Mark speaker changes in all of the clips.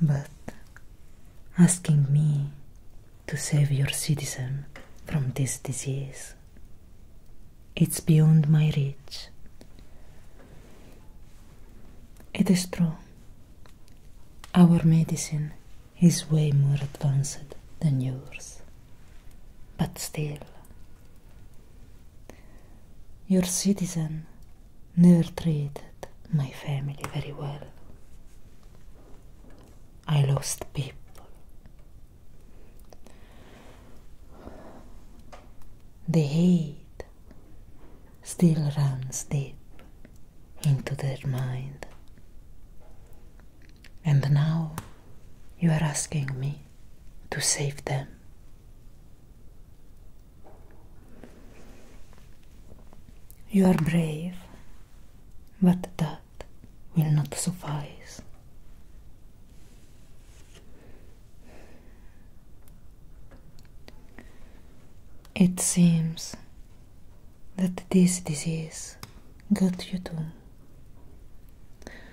Speaker 1: but asking me to save your citizen from this disease. It's beyond my reach. It is true. Our medicine is way more advanced than yours. But still, Your citizen never treated my family very well. I lost people. The hate still runs deep into their mind. And now You are asking me to save them. You are brave, but that will not suffice. It seems that this disease got you too.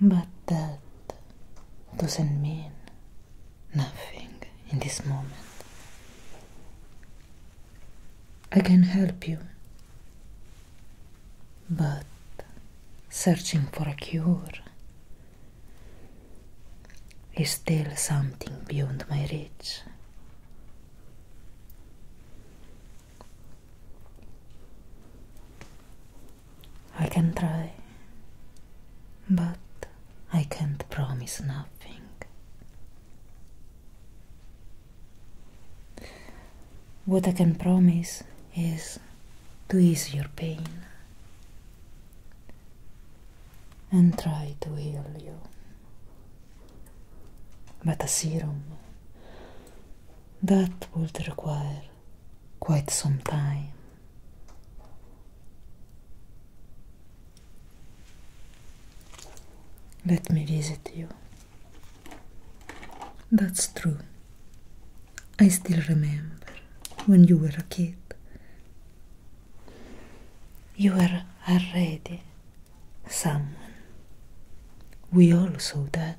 Speaker 1: But that doesn't mean nothing in this moment. I can help you, but searching for a cure is still something beyond my reach. I can try, but I can't promise nothing. What I can promise is to ease your pain and try to heal you. But a serum, that would require quite some time. Let me visit you. That's true. I still remember when you were a kid. You were already someone. We all saw that.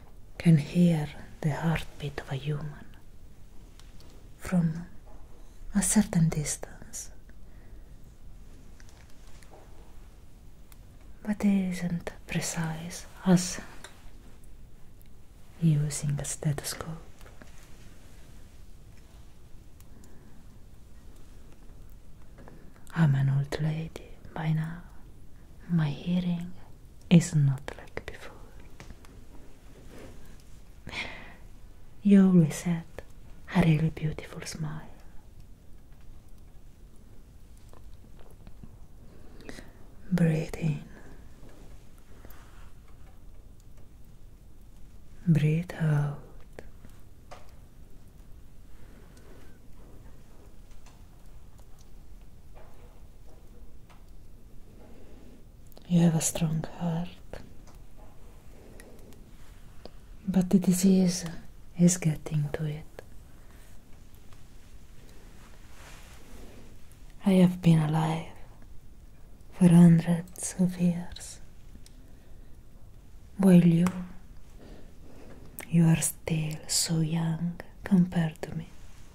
Speaker 1: can hear the heartbeat of a human from a certain distance. But is isn't precise as using a stethoscope. I'm an old lady by now. My hearing is not like before. You always had a really beautiful smile. Breathe in. Breathe out. You have a strong heart, but the disease is getting to it. I have been alive for hundreds of years, while you, you are still so young compared to me.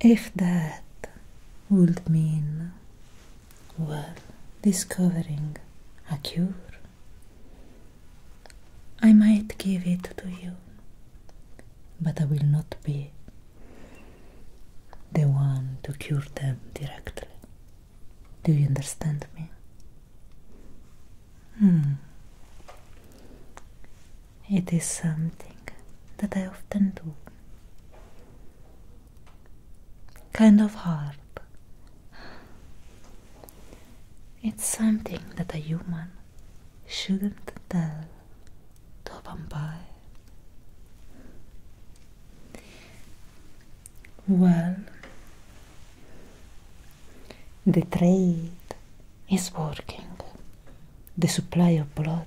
Speaker 1: if that would mean, well, discovering a cure, I might give it to you, but I will not be the one to cure them directly. Do you understand me? Hmm. It is something that I often do. Kind of hard. It's something that a human shouldn't tell to a vampire. Well, the trade is working. the supply of blood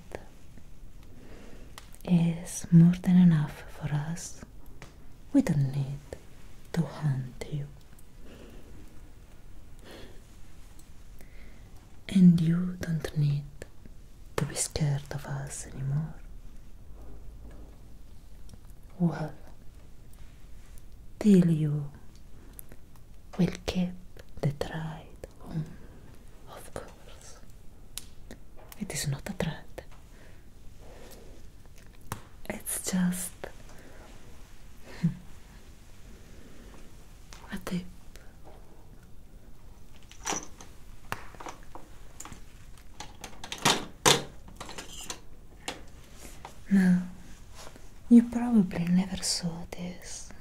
Speaker 1: is more than enough for us. We don't need to hunt you. And you don't need to be scared of us anymore. Well, till you will keep the tribe of course. It is not a threat. It's just a tip. Now, you probably never saw this.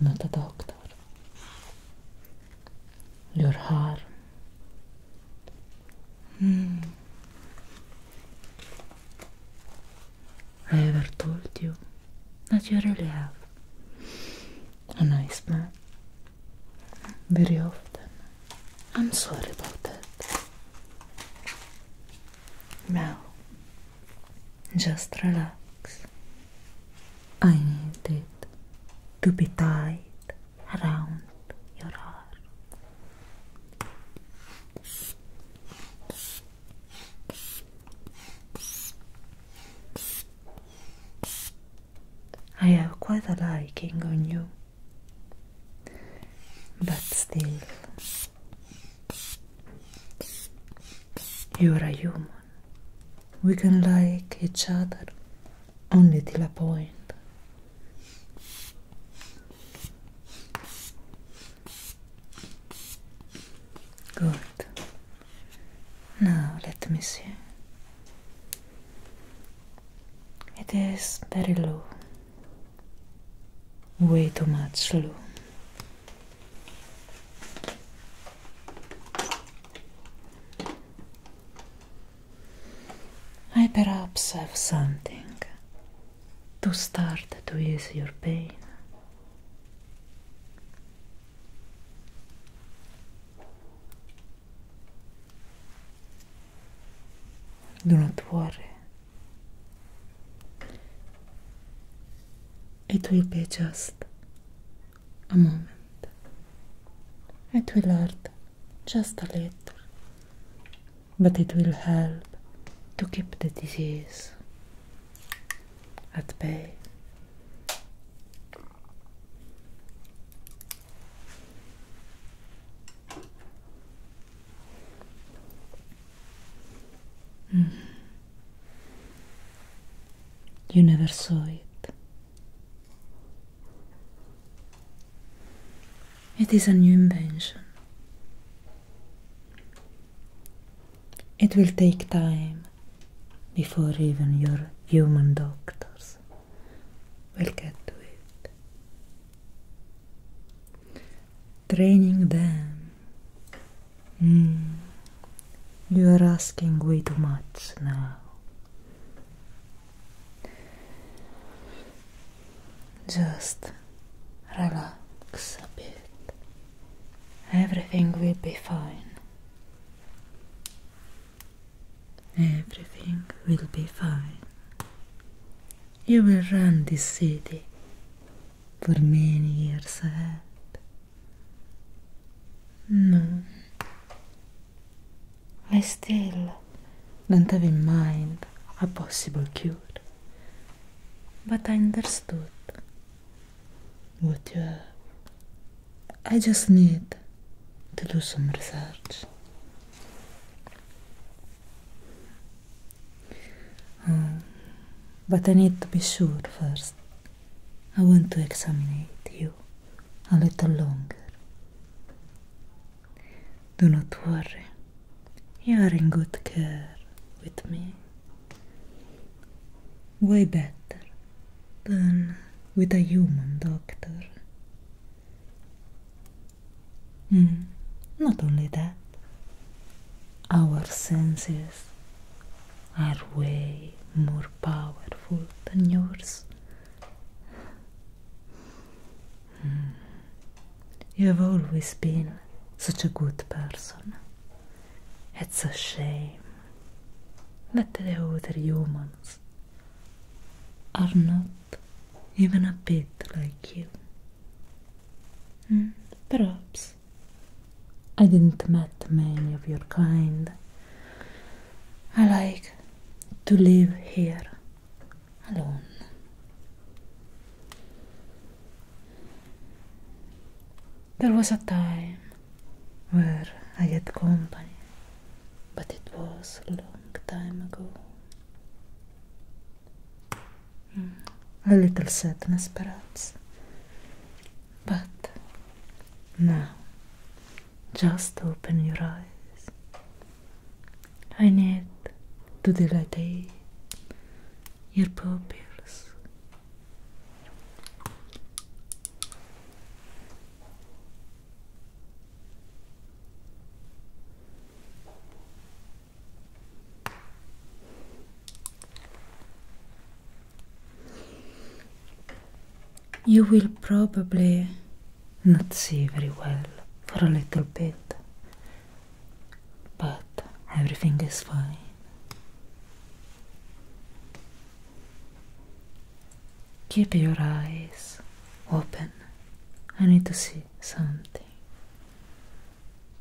Speaker 1: Not a doctor. Your harm. Mm. I ever told you that you really have a nice man. Very often. I'm sorry about that. Now, just relax. I need it to be tied around your arm. I have quite a liking on you, but still, you're a human. We can like each other only till a point. Good. Now let me see. It is very low, way too much Lou. I perhaps have something to start to ease your pain. Do not worry, it will be just a moment. It will hurt just a little, but it will help to keep the disease at bay. Mm-hmm. You never saw it. It is a new invention. It will take time before even your human doctors will get to it training them. Hmm. You are asking way too much now. Just relax a bit. Everything will be fine. Everything will be fine. You will run this city por many years ahead. No. I still don't have in mind a possible cure. But I understood what you have. I just need to do some research. but I need to be sure first. I want to examine you a little longer. Do not worry, you are in good care with me. Way better than with a human doctor. Hmm. Not only that, our senses are way more powerful than yours. Hmm. You have always been such a good person. It's a shame that the other humans are not even a bit like you. Hmm, perhaps. I didn't meet many of your kind. I like to live here alone. There was a time where I had company, but it was a long time ago. Mm. a little sadness, perhaps. But now, just open your eyes. I need to dilate your pupils. You will probably not see very well for a little bit, but everything is fine. Keep your eyes open. I need to see something.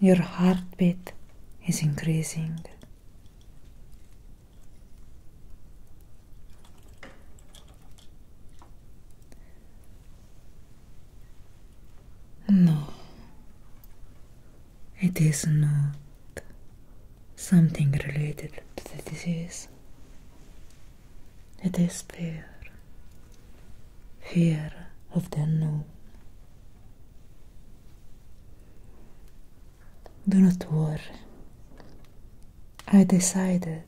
Speaker 1: Your heartbeat is increasing. No, it is not something related to the disease. It is fear fear of the unknown. Do not worry. I decided,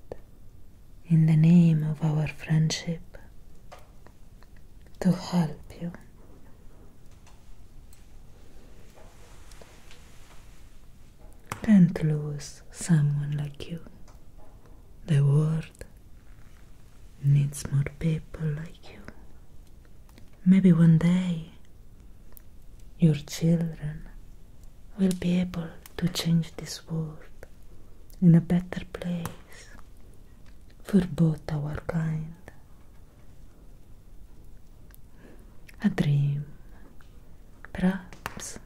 Speaker 1: in the name of our friendship, to help you. do not lose someone like you. The world world needs more people like you. Maybe one day your children will be able to change this world in a better place for both our kind. A dream, perhaps.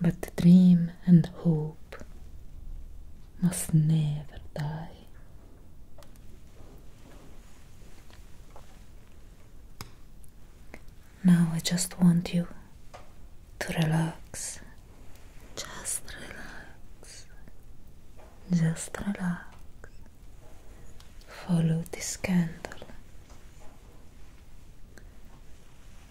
Speaker 1: But the dream and hope must never die. Now I just want you to relax. Just relax. Just relax. Follow this candle.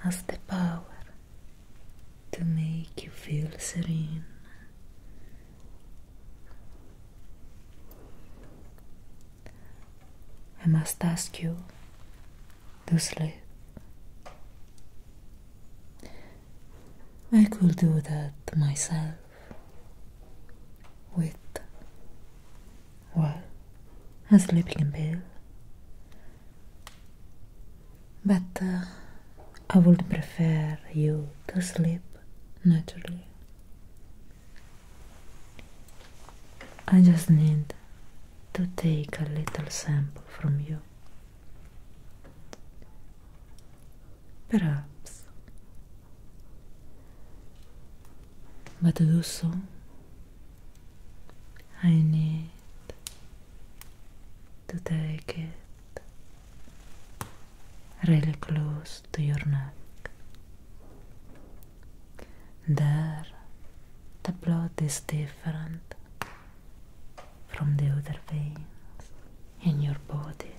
Speaker 1: has the power to make you feel serene. I must ask you to sleep. I could do that myself with well, I'm sleeping pill. But uh, I would prefer you to sleep naturally. I just need to take a little sample from you. Perhaps. But do so I need to take it really close to your neck. There, the blood is different from the other veins in your body.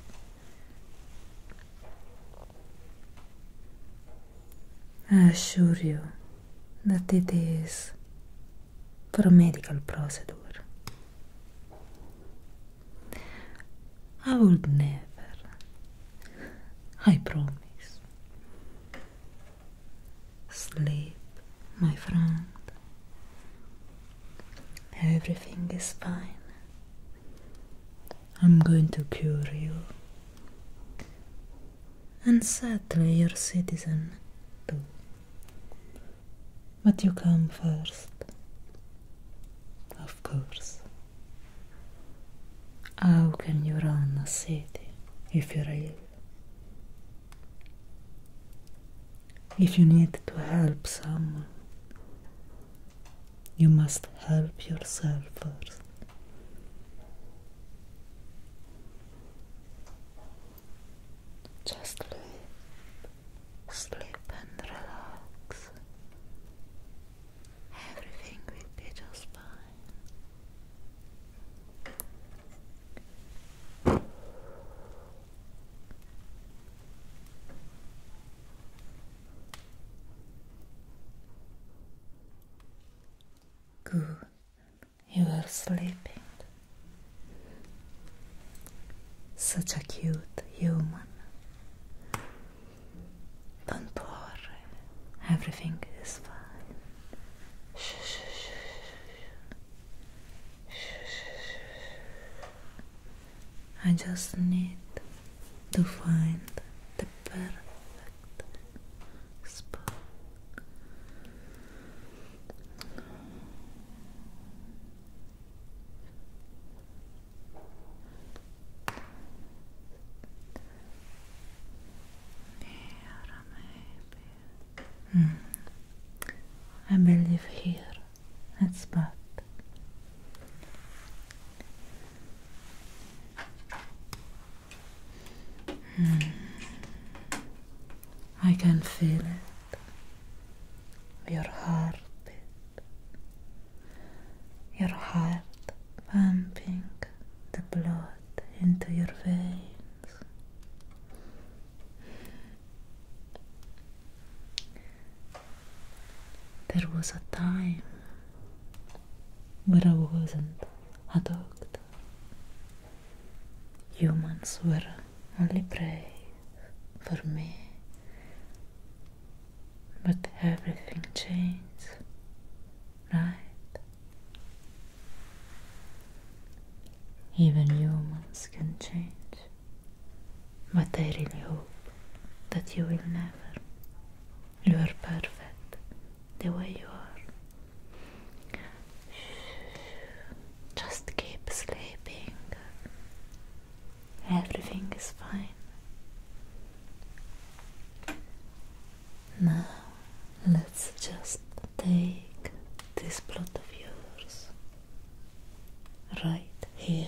Speaker 1: I assure you. that it is for a medical procedure. I would never, I promise. Sleep, my friend. Everything is fine. I'm going to cure you and sadly your citizen too. But you come first, of course. How can you run a city if you are ill? If you need to help someone, you must help yourself first. Just sleep, sleep and relax. Everything will be just fine. Good. You are sleeping. Such a cute human. Don't worry. Everything is fine. Shh, shh, shh, shh. Shh, shh, I just need to find the perfect Hmm. I believe here. That's bad. Hmm. I can feel it. Your heart, your heart pumping the blood into your veins. There was a time where I wasn't adopt. Humans were only prey for me. But everything changed, right? Even humans can change. But I really hope that you will never. You are perfect the way you are. Just keep sleeping. Everything is fine. Now, let's just take this plot of yours right here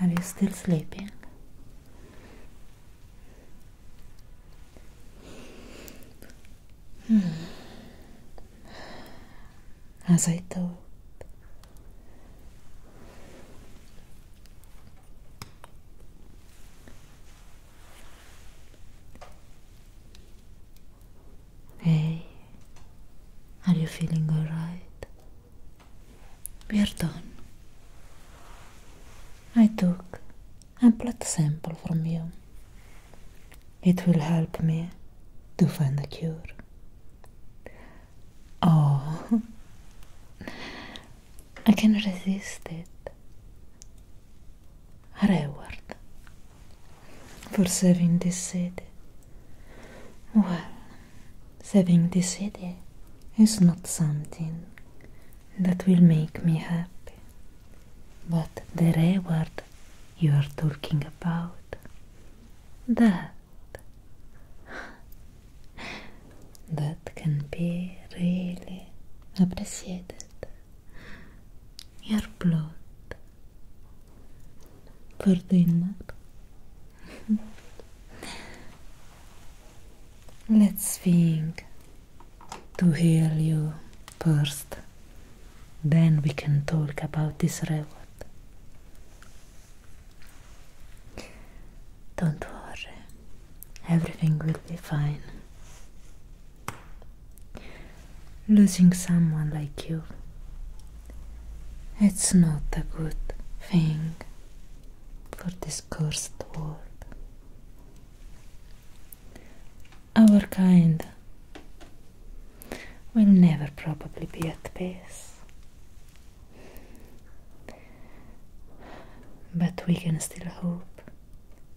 Speaker 1: Are you still sleeping? Hmm. As I thought. Hey, are you feeling alright? We are done. I took a blood sample from you. It will help me to find a cure. Oh, I can resist it reward for saving this city. Well, saving this city is not something that will make me happy, but the reward you are talking about, that that can be really appreciated. Your blood for doing Let's think to heal you first, then we can talk about this robot. Don't worry, everything will be fine. Losing someone like you, it's not a good thing for this cursed world. Our kind will never probably be at peace. But we can still hope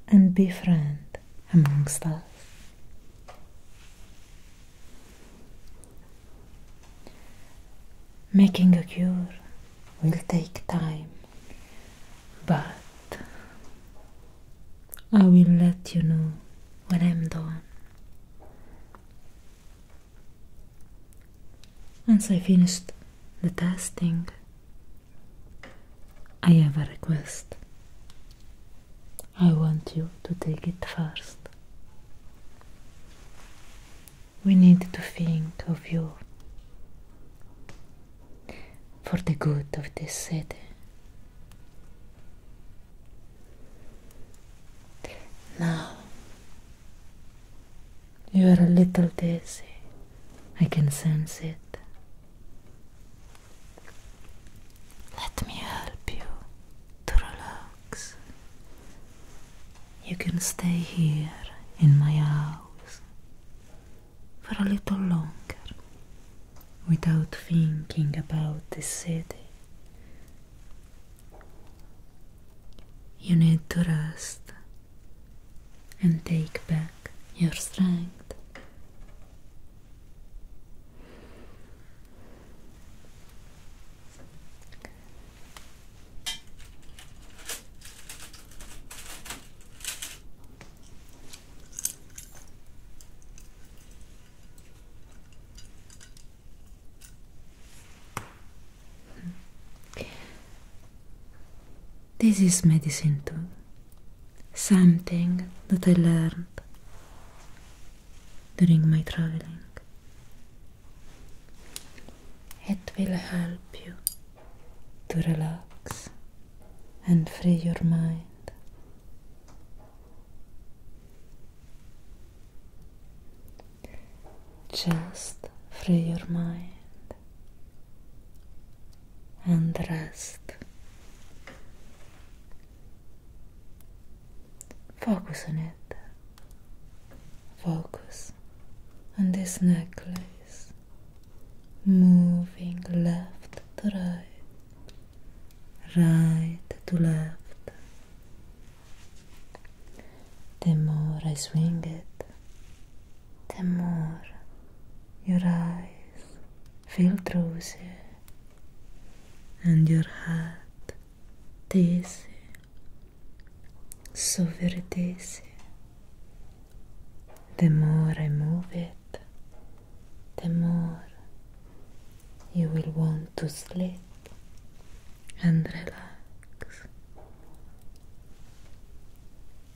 Speaker 1: and befriend amongst us. Making a cure will take time, but I will let you know when I'm done. Once I finished the testing, I have a request. I want you to take it first. We need to think of you for the good of this city. Now you are a little dizzy, I can sense it. Let me help you to You can stay here in my house for a little longer without thinking about the city. You need to rest and take back your strength. This is medicine too something that I learned during my traveling. It will help you to relax and free your mind. Just free your mind and rest. Focus on it. Focus on this necklace, moving left to right, right to left. The more I swing it, the more your eyes Feel drowsy, and your heart tastes so very tasty. The more I move it, the more you will want to sleep and relax.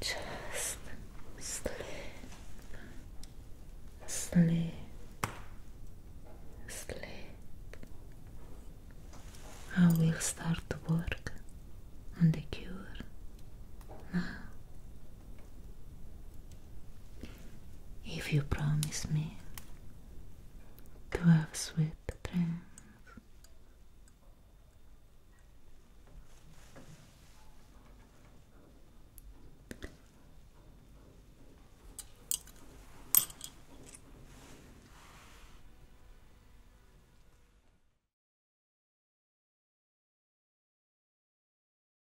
Speaker 1: Just sleep, sleep, sleep. I will start to work on the cure now if you promise me to have sweet dreams.